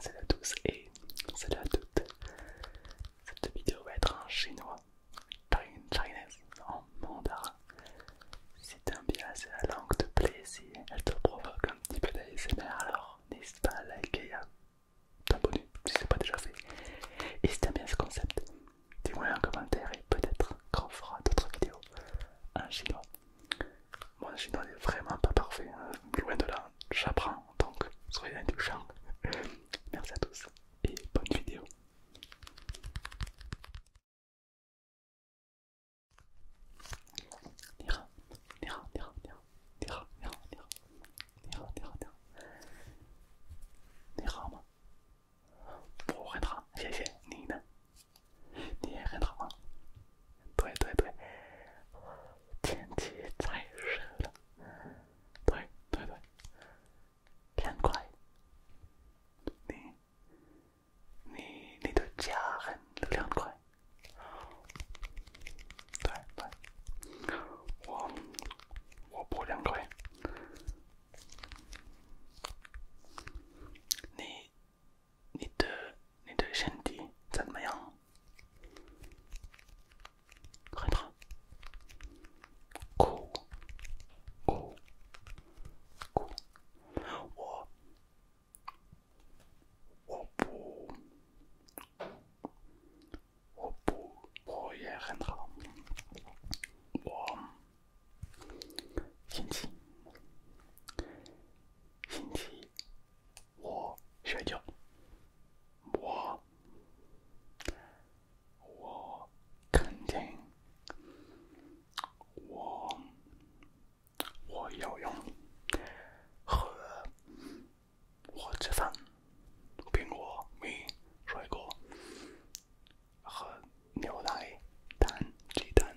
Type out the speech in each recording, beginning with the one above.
Salut à tous et salut à toutes. Cette vidéo va être en chinois, chinese, en mandarin. Si t'aimes bien la langue de plaisir, elle te provoque un petit peu d'ASMR, alors n'hésite pas à liker et à t'abonner si c'est pas déjà fait. Et si t'aimes bien ce concept, dis-moi en commentaire et peut-être qu'on fera d'autres vidéos en chinois je n'en n'est vraiment pas parfait, hein. loin de là, j'apprends, donc soyez indulgents. Merci à tous et bonne vidéo. Nira, Nira, 对对对，天气太热了。对对对，凉快。你，你你的家很凉快。对对，我我不凉快。你你的。你的身体怎么样？很好。哭，哭，好，我，我不，我不，我也很好。我，星期，星期。我睡觉。我，我肯定，我，我要用和，我吃饭，苹果、米、水果和牛奶、蛋、鸡蛋。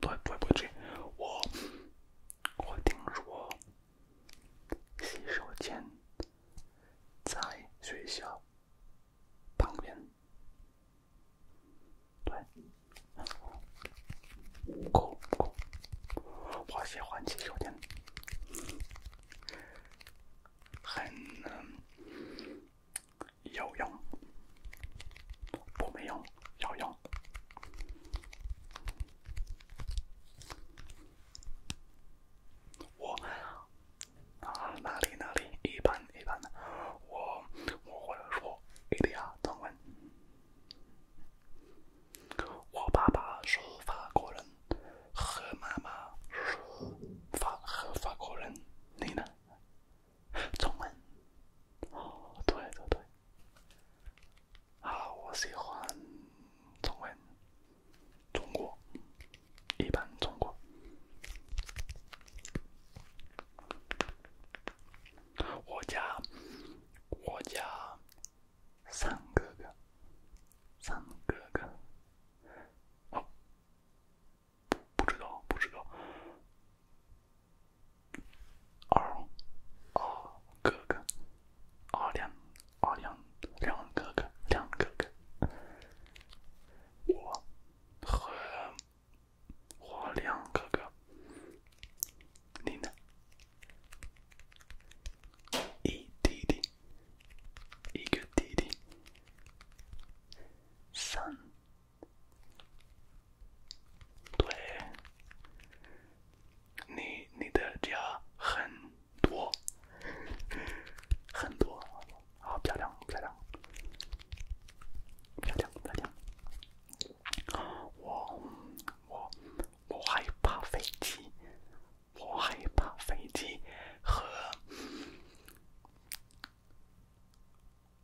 对，对不起，我我听说洗手间在学校旁边。对，够够，我喜欢洗手间，很。有用，我没用，有用。我啊，哪里哪里，一般一般的。我我或者说，哎呀，中文。我爸爸是法国人，和妈妈是法和法国人，你呢？中文，哦，对对对，好，我喜欢中文，中国，一般中国，我家，我家三哥哥，三哥哥，哦。不不知道不知道。二，二哥哥，二亮，二亮亮哥哥，亮哥哥。我，和，我亮哥哥，你呢？一弟弟，一个弟弟。三。对，你你的家很多，很多，好漂亮漂亮漂亮漂亮。我我我害怕飞机，我害怕飞机和。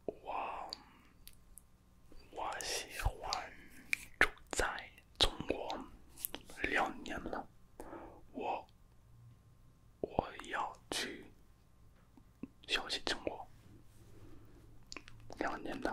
我我喜欢住在中国两年了，我我要去学习中国两年的。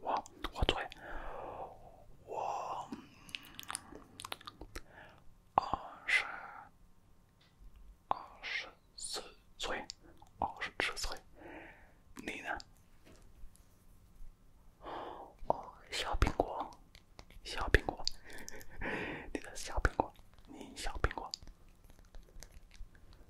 我我最我我是我是最我是岁。你呢？哦，小苹果，小苹果，你的小苹果，你小苹果。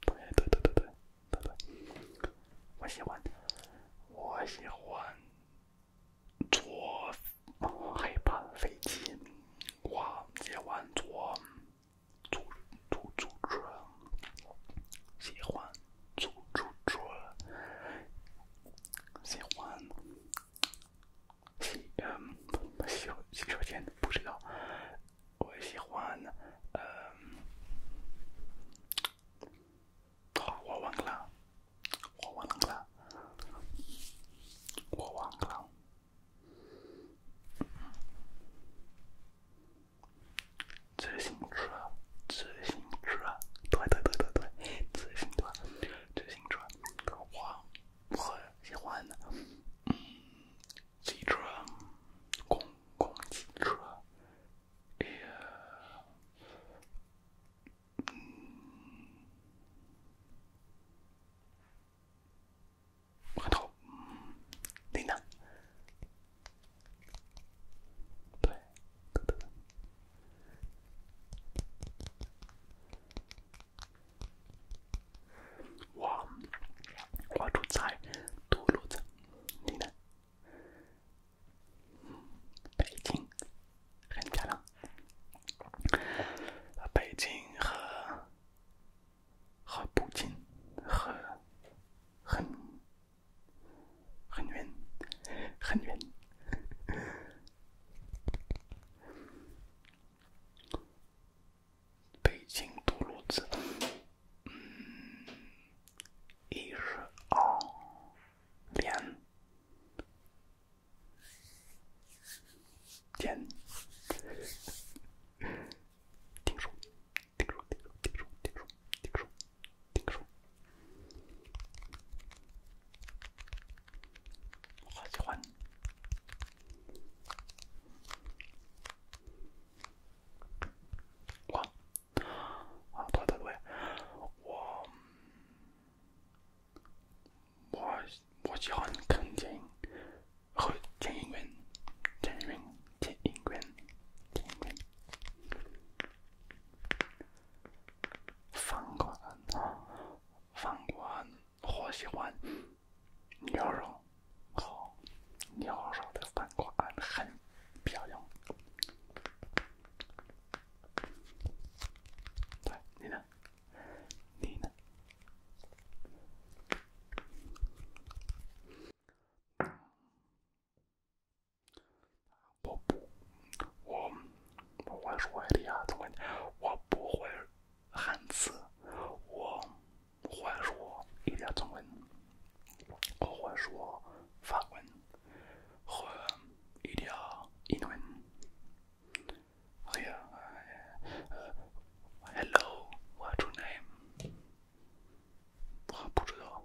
对对对对对对我喜欢，我喜欢坐黑盘飞机，我喜欢坐租租租车，喜欢租租车，喜欢。洗嗯，洗洗手间不知道。我喜欢嗯，我忘了，我忘了，我忘了。自行车，自行车，对对对对对，自行车，自行车，我。我喜欢的，汽车，公共汽车，哎呀，对。我我住在涿鹿镇，你呢？北京很漂亮，北京和和北京和很很远，很远。北京多路子，一日二连点，听说，听说，听说，听说，听说，听说，听说。我喜欢我啊，对对对，我我我喜欢看电影，看电影院，电影院，电影院，电影院，放光了，放光。好喜欢牛肉，好牛肉的三块很漂亮。对，你呢？你呢？我不，我。我会说意大利语、中文。我不会汉字。我会说意大利语、中文。我会说法文和意大利语、英文。还有 Hello，What's your name？我不知道。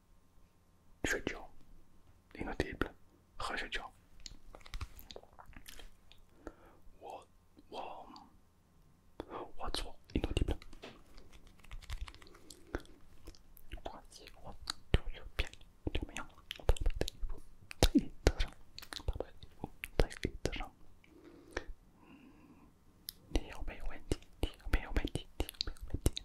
睡觉，一点都不累，喝睡觉。我我我做一点都不累。我自己我左右边都没有，我怕他欺负，欺负我怕他欺负，欺负人。你有没有问题，你有没有问题，你有没有问题。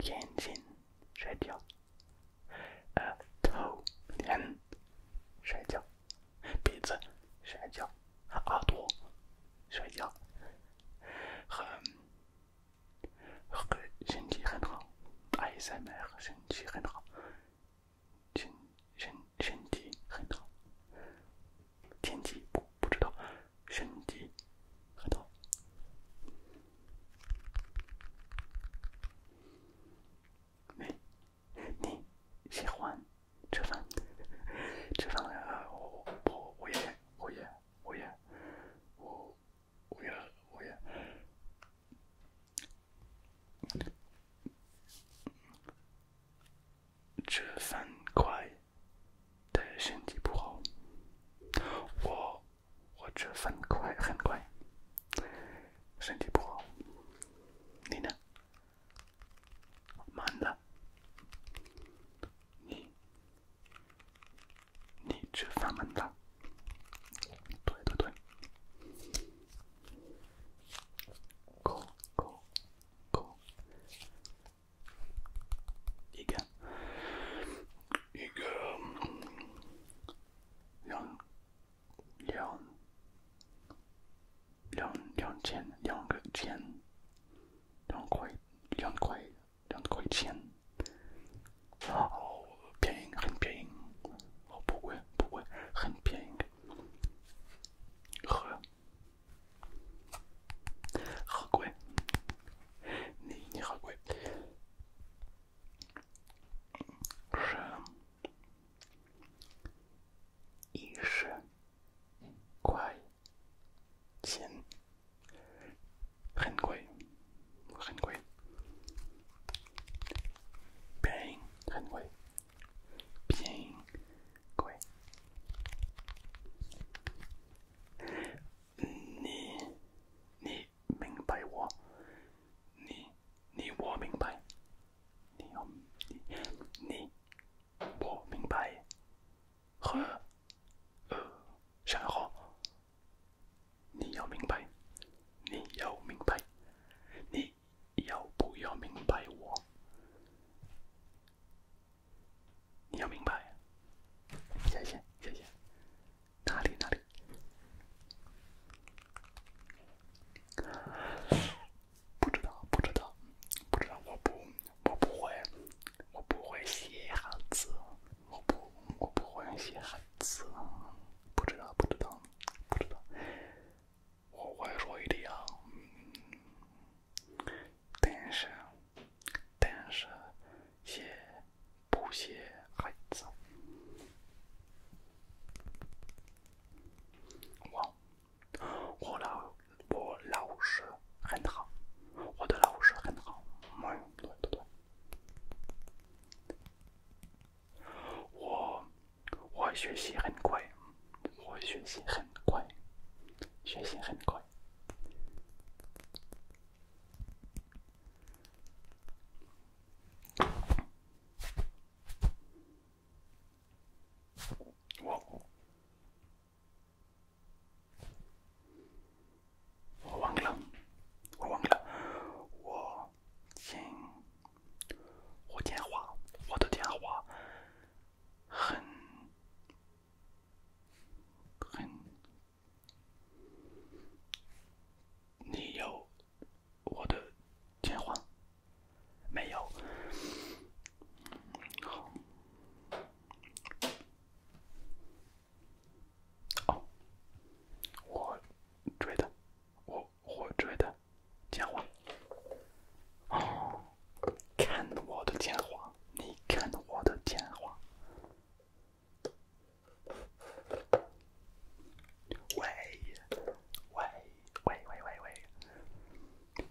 眼睛睡觉，呃，头脸睡觉，鼻子睡觉，耳朵睡觉，很和身体很好，哎，三百，身体很好，身身身体很好，天气不不知道。身体很多。没，你喜欢吃饭？吃饭？啊？我我我也我也我也我我也我也。吃饭快。对身体不好，我我这很快很快，身体不好，你呢？慢的，你你吃饭慢的，对对对，一个，一个两两两两两千两个千，两块两块两块钱，好便宜很便宜，哦，不贵不贵很便宜，的，好好贵。尼尼，很贵。一十块，钱很贵，很贵，很贵，很贵，贵。你，你明白我？你，你我明白。你，要，你我明白。和，呃，然后你要明白，你要明白，你要不要明白我？你要明白，谢谢谢谢，哪里哪里，不知道不知道不知道，我不我不会，我不会写汉字，我不我不会写汉字，不知道不知道不知道，我会说一点。但是，但是，写不写孩子。我，我老，我老是很好，我的老是很好。我，我学习很快，我学习很快，学习很快。我我忘了，我忘了，我今我电话我的电话很。很？你有我的电话？没有。哦，我追的，我我追的电话。哦。看我的电话，你看我的电话。喂，喂，喂喂喂喂，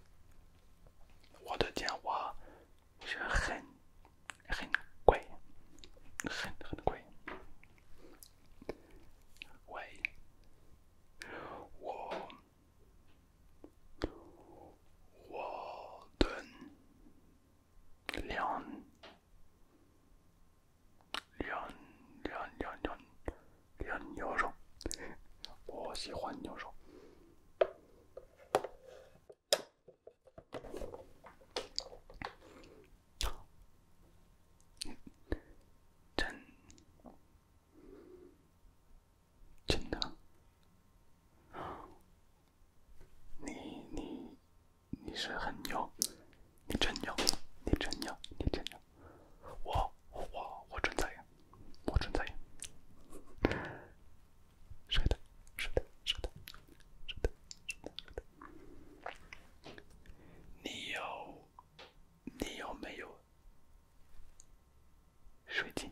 我的电话是很很贵，很很贵。喂，我。我顿，两两两两两，两牛肉，我喜欢牛肉。真的，你你你是很牛，你真牛，你真牛，你真牛，我我我真在呀，我真在呀，是的，是的，是的，是的，是的，是的，你有你有没有睡醒？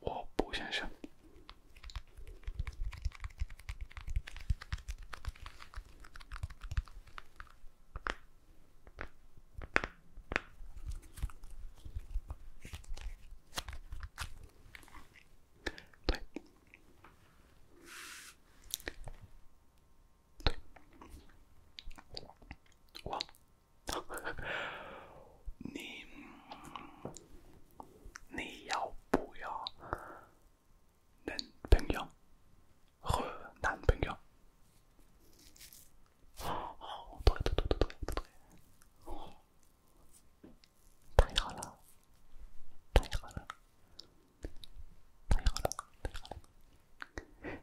我不想信。对，对，我，你。你要不要男朋友和男朋友？对对对对对对对，太好了，太好了，太好了，太好了。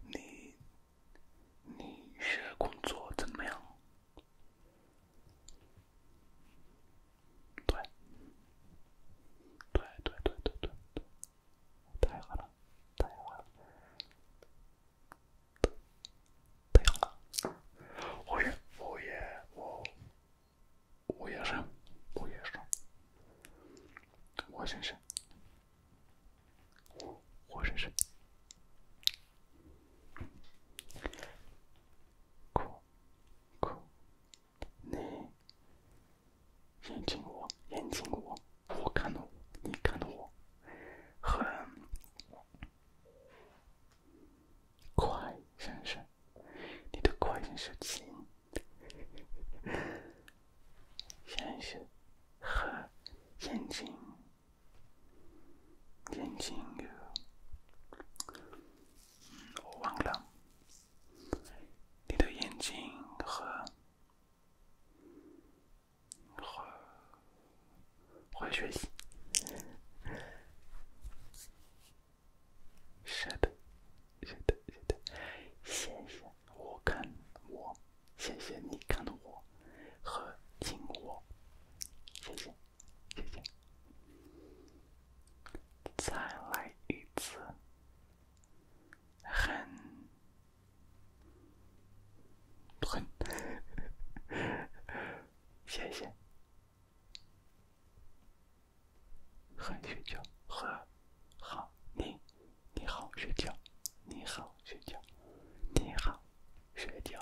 你你是工作怎么样？对，对对对对对对哭哭，你眼睛我眼睛我，我看到，你看到，我，很快，先生，你的快是轻，先生很眼睛。眼睛和忘了，你的眼睛和和会学习，是的，是的，是的，谢谢我看我，谢谢你看的我和听我，谢谢。谢谢，再来一次。很，很，谢谢。好睡觉，和好，你，你好睡觉，你好睡觉，你好睡觉。